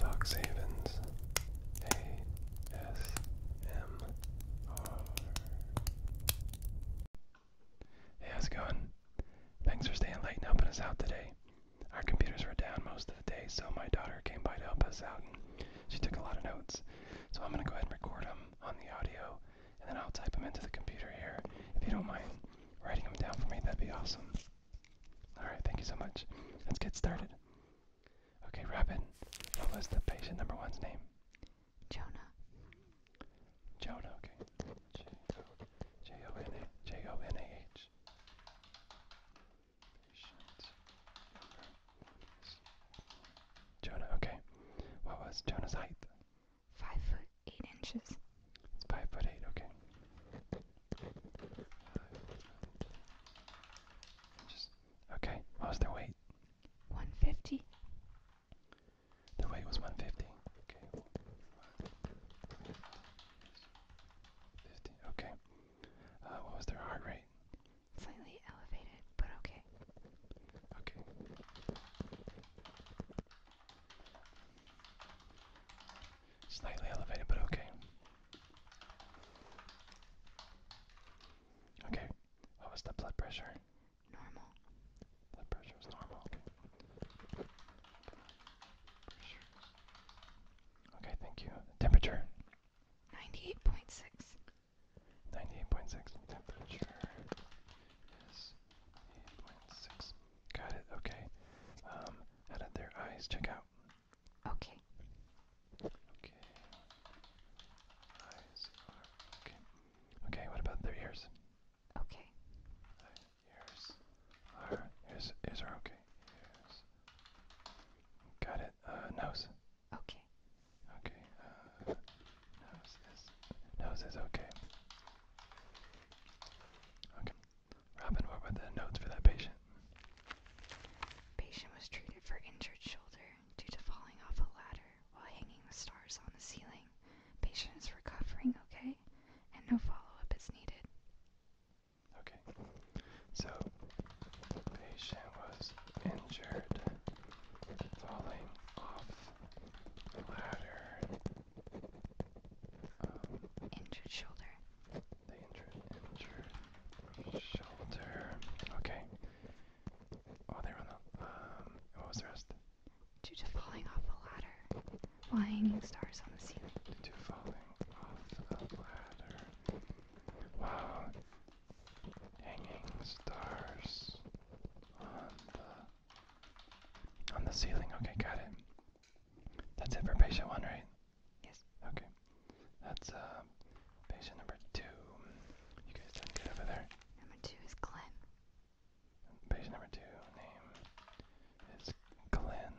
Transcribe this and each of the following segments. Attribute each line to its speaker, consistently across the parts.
Speaker 1: Fox Havens ASMR. Hey, how's it going? Thanks for staying late and helping us out today. Our computers were down most of the day, so my daughter came by to help us out and she took a lot of notes. So I'm going to go ahead and record them on the audio and then I'll type them into the computer here. If you don't mind writing them down for me, that'd be awesome. All right, thank you so much. Let's get started. Okay, Robin, what was the patient number one's name? Jonah. Jonah, okay. J O J O N A J O N A H. Jonah, okay. What was Jonah's height? Five foot eight inches. It's five foot eight, okay. Just okay. What was their weight? One fifty. Their weight was one fifty. Okay. Fifty. Okay. Uh, what was their heart rate? Slightly elevated, but okay. Okay. Slightly elevated, but okay. Okay, what was the blood pressure? Normal. Blood pressure was normal, okay. Pressure. Okay, thank you. Temperature? 98.6. 98.6. Temperature is 8.6. Got it. Okay. Um, how did their eyes check out? Okay. Okay. Eyes are okay. Okay. What about their ears? Okay. ears are ears ears are okay. Ears. Got it. Uh, nose. Okay. Okay. Uh, nose is nose is okay. Okay. Robin, what were the notes for that patient? Patient was treated for injured shoulder due to falling off a ladder while hanging the stars on the ceiling. Patient is recovering okay, and no follow-up is needed. Okay. So, patient was injured falling off a ladder um, injured shoulder. The injured, injured shoulder. Okay. Oh, they were on Um, what was the rest? Due to falling off a ladder while hanging stars on the ceiling. Due to falling off a ladder while hanging stars on the on the ceiling. Okay, got it. That's it for patient one, right? Yes. Okay. That's uh, patient number two. You guys done good over there. Number two is Glenn. Patient number two name is Glenn.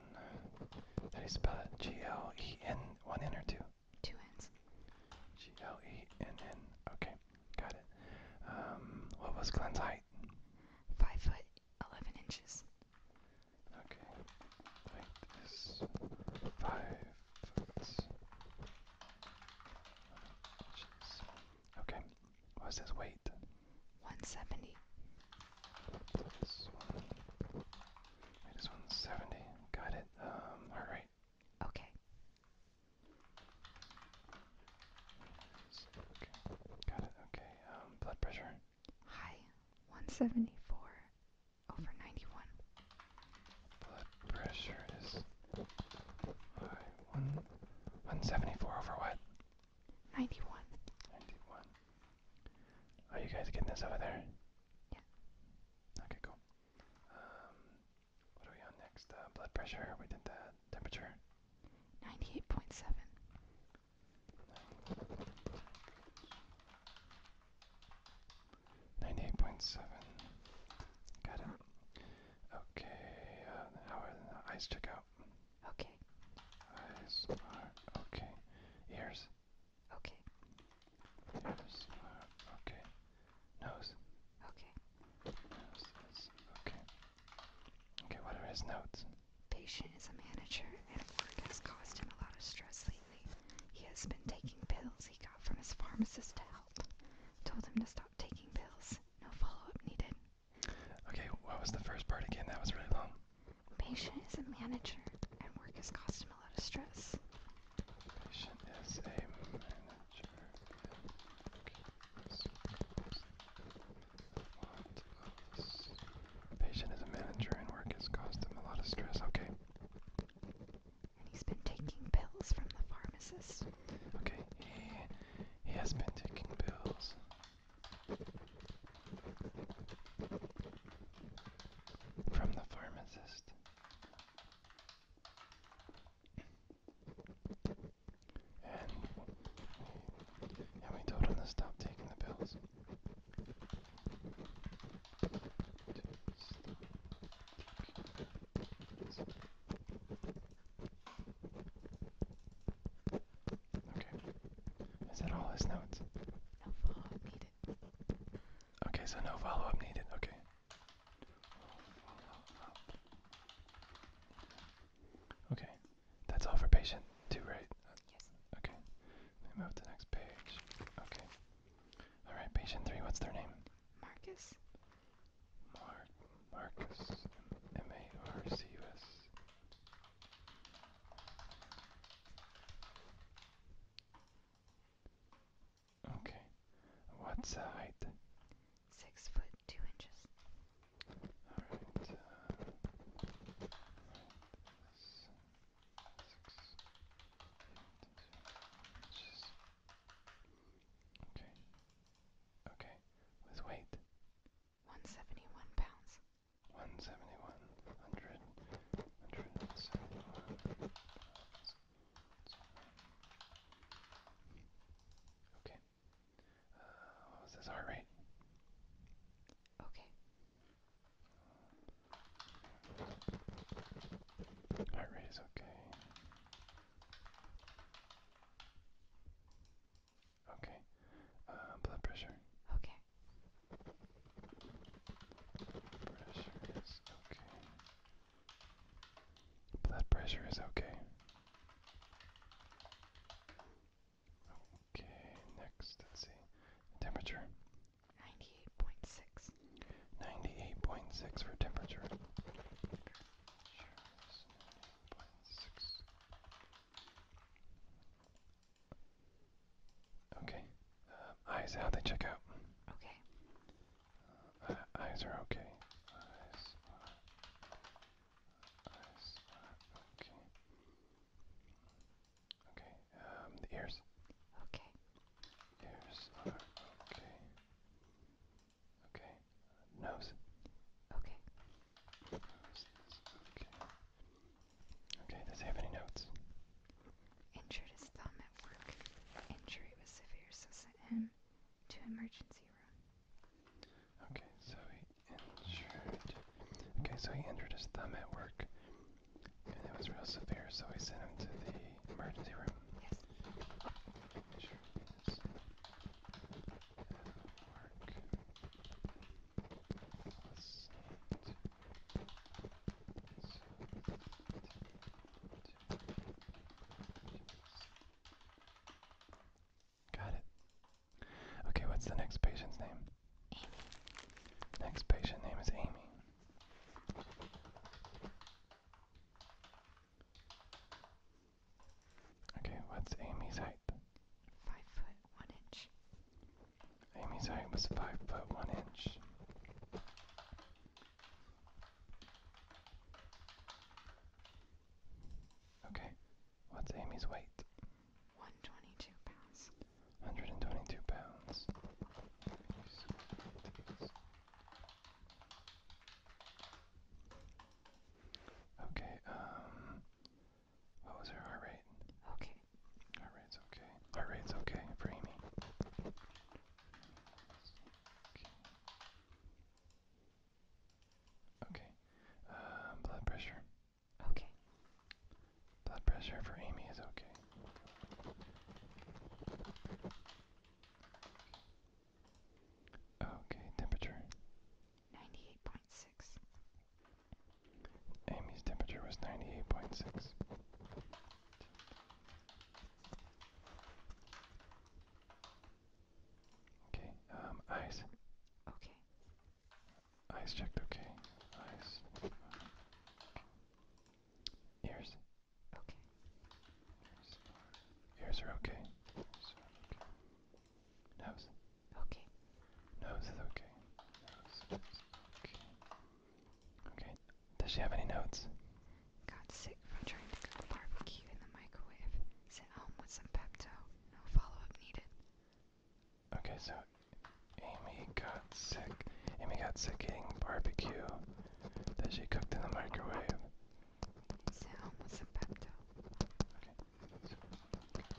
Speaker 1: How do you spell G L E N. One N or two? Two N's. G L E N N. Okay, got it. Um, what was Glenn's height? Five foot eleven inches. Okay. Length is five foot. Inches. Okay. What's his weight? One seventy. This one. Got it. Um. All right. Okay. Got it. Okay. Um, blood pressure. High, 174 over 91. Blood pressure is high. One, 174 over what? 91. 91. Are you guys getting this over there? Yeah. Okay, cool. Um, what are we on next? Uh, blood pressure. We did that. Temperature. 98.7. Ninety-eight point seven. Got it. Okay. Uh, eyes check out? Okay. Eyes are okay. Ears. Okay. Ears are okay. Nose. Okay. Nose is okay. Okay, what are his notes? Patient is a manager, and work has caused him a lot of stress lately. He has been taking pills he got from his pharmacist to help. Told him to stop taking pills. No follow up needed. Okay, what was the first part again? That was really long. Patient is a manager, and work has caused him a lot of stress. Patient is a manager. Patient is a manager and work has caused him a lot of stress. Okay. And he's been taking pills from the pharmacist. Okay, he, he has been taking pills. From the pharmacist. And we, told him to stop taking the pills. Okay. Is that all his notes? Okay, so no follow-up needed. Okay. Okay, that's all for patient two, right? Yes. Okay, let move to the next page. Okay. All right, patient three. What's their name? Marcus. Mark Marcus. M A R C U S. Okay. What's the height? Six foot two inches. Alright. Uh, six, eight, inches. Okay. Okay. With weight? 171 pounds. 171. Pounds. Okay. Uh, what was his heart rate? Okay. Heart rate is okay. Okay. Uh, blood pressure. Okay. Pressure is okay. Blood pressure is okay. Okay, next, let's see. Temperature 98.6. 98.6 for temperature. Okay. Um, eyes, how they check out. Okay. Uh, eyes are okay. Eyes are, eyes are okay. Okay. Um, the ears. Okay. Ears are okay. Okay. Nose. Okay. Nose is okay. Okay. Does he have any notes? injured his thumb at work. Injury was severe, so sent him to emergency room. Okay, so he injured. Okay, so he injured his thumb at work, and it was real severe, so we sent him to the emergency room. Got it. Okay, what's the next patient's name? Next patient name is Amy. Okay, what's Amy's height? Five foot one inch. Amy's height was five foot one inch. Okay, what's Amy's weight? 122 pounds. 122 pounds. Okay, um, what was her heart rate? Okay. Heart rate's okay. Heart rate's okay for Amy. Okay. Uh, blood pressure. Okay. Blood pressure for Amy is okay. Okay, temperature. 98.6. Amy's temperature was 98.6. Okay, um, eyes. Okay. Eyes checked, okay. Eyes. ears. Okay. Ears are, okay. Ears are okay. Nose. Okay. Nose is okay. Nose okay. Does she have any notes? Got sick from trying to barbecue in the microwave. Sent home with some Pepto. No follow-up needed. Okay, so Amy got sick. Amy got sick eating barbecue that she cooked in the microwave. Sent home with some Pepto. okay.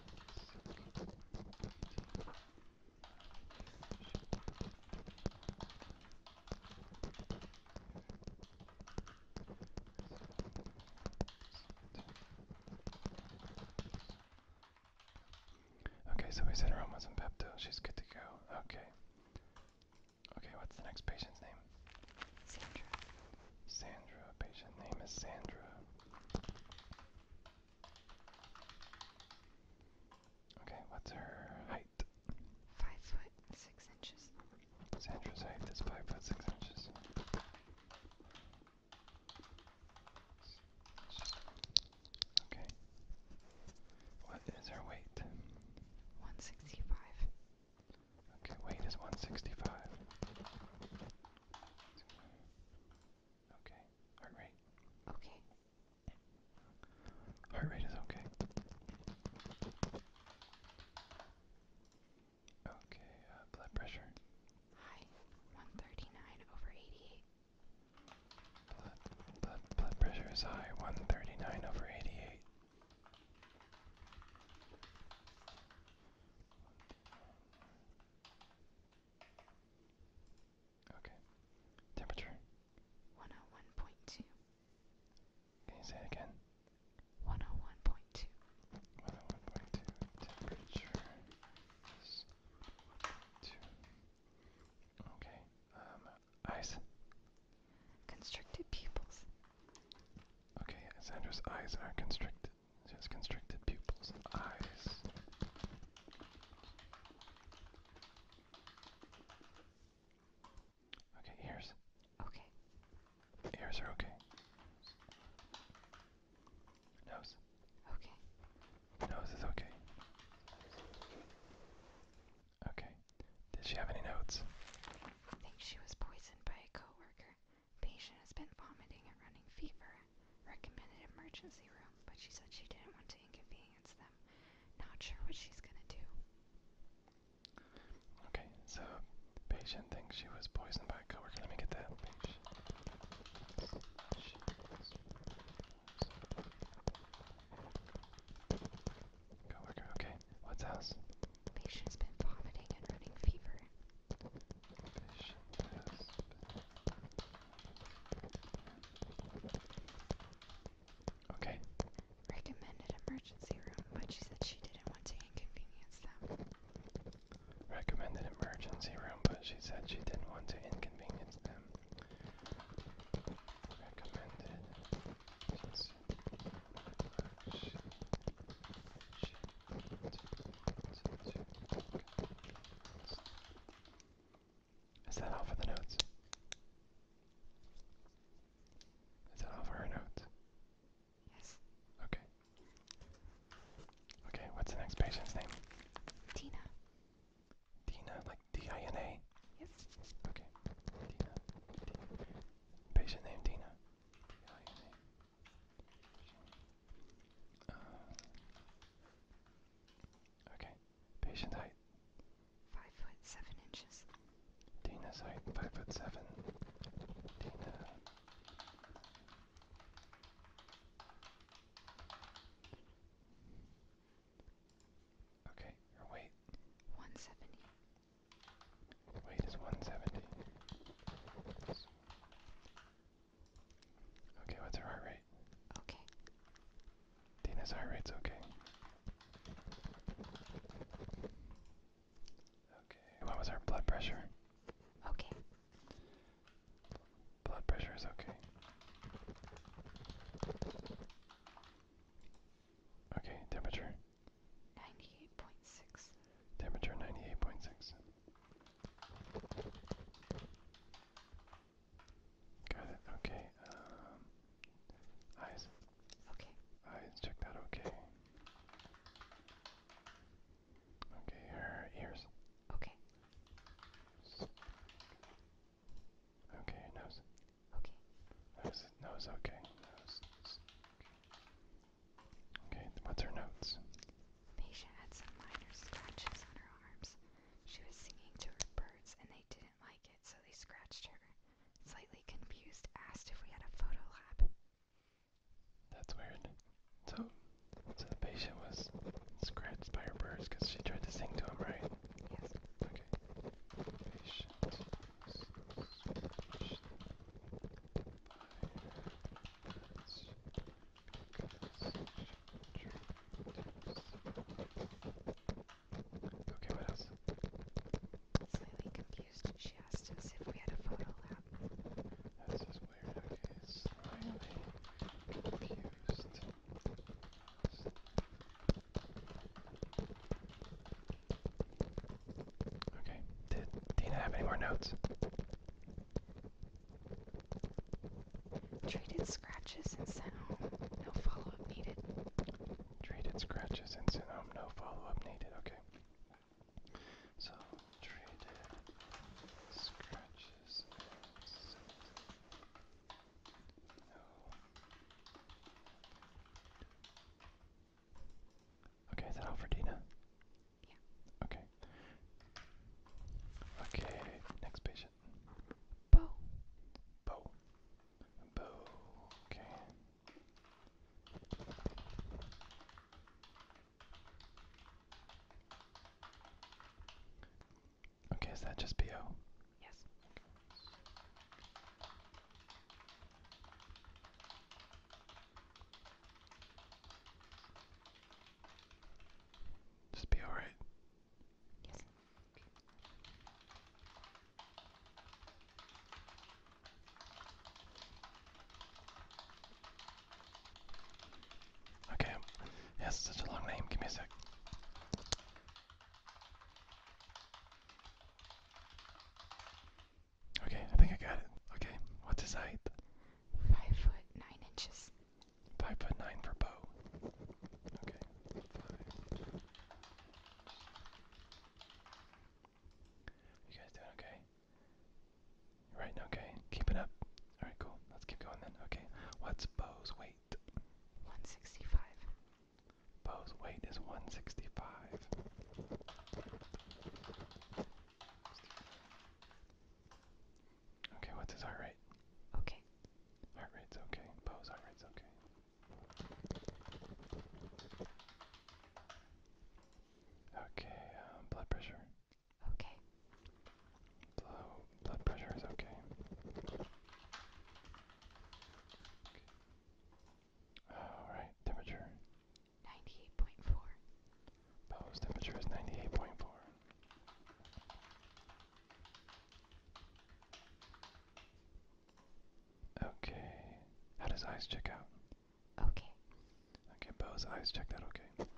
Speaker 1: Okay, so we sent her home with some Pepto. She's good to go. Okay. Okay, what's the next patient's name? Sandra. Sandra. Patient name is Sandra. Okay, what's her height? Five foot six inches. Sandra's height is five foot six inches. Okay. What is her weight? 165. Okay, weight is 165. Okay, heart rate. Okay. Heart rate is okay. Okay, uh, blood pressure. High, 139 over 88. Blood, blood, blood pressure is high, 139 over 88. Okay. Temperature. 101.2. Can you say it again? 101.2. 101.2. Temperature is 101.2. Okay. Um, eyes. Constricted pupils. Okay, Sandra's eyes are constricted. She has constricted pupils. Eyes Okay, ears. Okay. Ears are okay. Nose. Okay. Nose is okay. Okay. Did she have any notes? I think she was poisoned by a coworker. Patient has been vomiting and running fever recommended emergency room, but she said she didn't want to inconvenience them. Not sure what she's gonna do. Okay, so patient thinks she was poisoned by coworker. Let me get that. Coworker, okay. What's else? Patient's been vomiting and running fever. Okay. Recommended emergency room, but she said she didn't want to inconvenience them. Recommended emergency room, but she said she didn't want to inconvenience them. Is that all for the notes? Is that all for our notes? Yes. Okay. Okay, what's the next patient's name? Tina. Tina, like D-I-N-A? Yes. Okay. Tina. Patient name Tina. D-I-N-A. Uh, okay. Patient height. Five foot seven inches. Dana's height, five foot seven. Dana. Okay, your weight. One seventy. Weight is one seventy. Okay, what's her heart rate? Okay. Dina's heart rate's okay. Okay, what was her blood pressure? Okay. Blood pressure is okay. Okay, temperature? 98.6. Temperature 98.6. Got it. Okay. Um, eyes. Okay. Eyes. Check that. Okay. Okay. Her ears. Okay. Okay. Nose. Okay. Nose. Nose. Okay. Okay, what's her notes? Patient had some minor scratches on her arms. She was singing to her birds and they didn't like it, so they scratched her. Slightly confused, asked if we had a photo lab. That's weird. So, so the patient was scratched by her birds because she tried to sing to them, right? Yes. Okay. Okay, what else? Slightly confused, she asked us if we had a photo lab. That's just weird, okay. Slightly confused. Okay, did Tina have any more notes? Treated scratches and sent home. No follow up needed. Treated scratches and sent home. No follow up needed. Okay. So, treated scratches and sent no. Okay, is that all for Dina? Okay. Okay, next patient. Bo. Bo. Bo. Okay. Okay, is that just BO? Yes. Just be alright. Yes. Okay. Okay, yes, such a long name. Give me a sec. Okay, I think I got it. Okay, what's his height? Five foot nine inches. Five foot nine for Bo. Okay. You guys doing okay? You're okay. Keep it up. Alright, cool. Let's keep going then. Okay. What's Bo's weight? 165. Bo's weight is 165. Okay, what's his heart rate? Okay. Heart rate's okay. Poe's heart rate's okay. Okay, um, blood pressure. Okay. Blow, blood pressure is okay. okay. All right, temperature. 98.4. Po's temperature is 98.4. Okay. How does eyes check out? Okay. Okay, Bo's eyes checked out okay.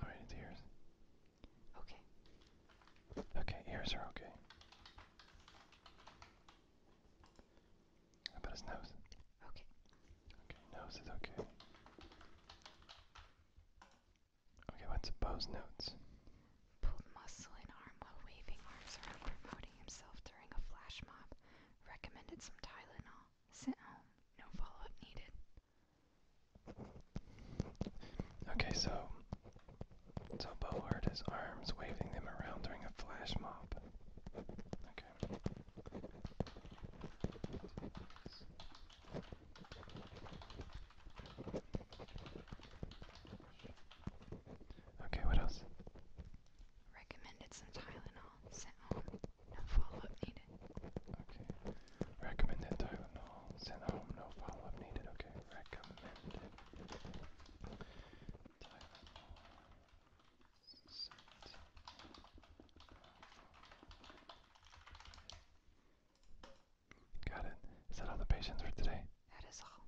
Speaker 1: Alright, it's Okay. Okay, ears are okay. How about his nose? Okay. Okay, nose is okay. Okay, what's Bo's notes? Pulled muscle and arm while waving arms around promoting himself during a flash mob. Recommended some Tylenol. Sent home. No follow-up needed. Okay, so so Bo hurt arms waving them around during a flash mob. Okay. Okay, what else? Recommended some Tylenol sent home. No follow up needed. Okay. Recommended Tylenol call. home, no follow-up needed. Okay, recommended. Got it. Is that all the patients for today? That is all.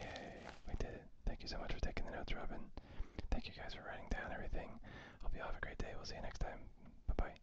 Speaker 1: Yay, we did it. Thank you so much for taking the notes, Robin. Thank you guys for writing down everything. Hope you all have a great day. We'll see you next time. Bye bye.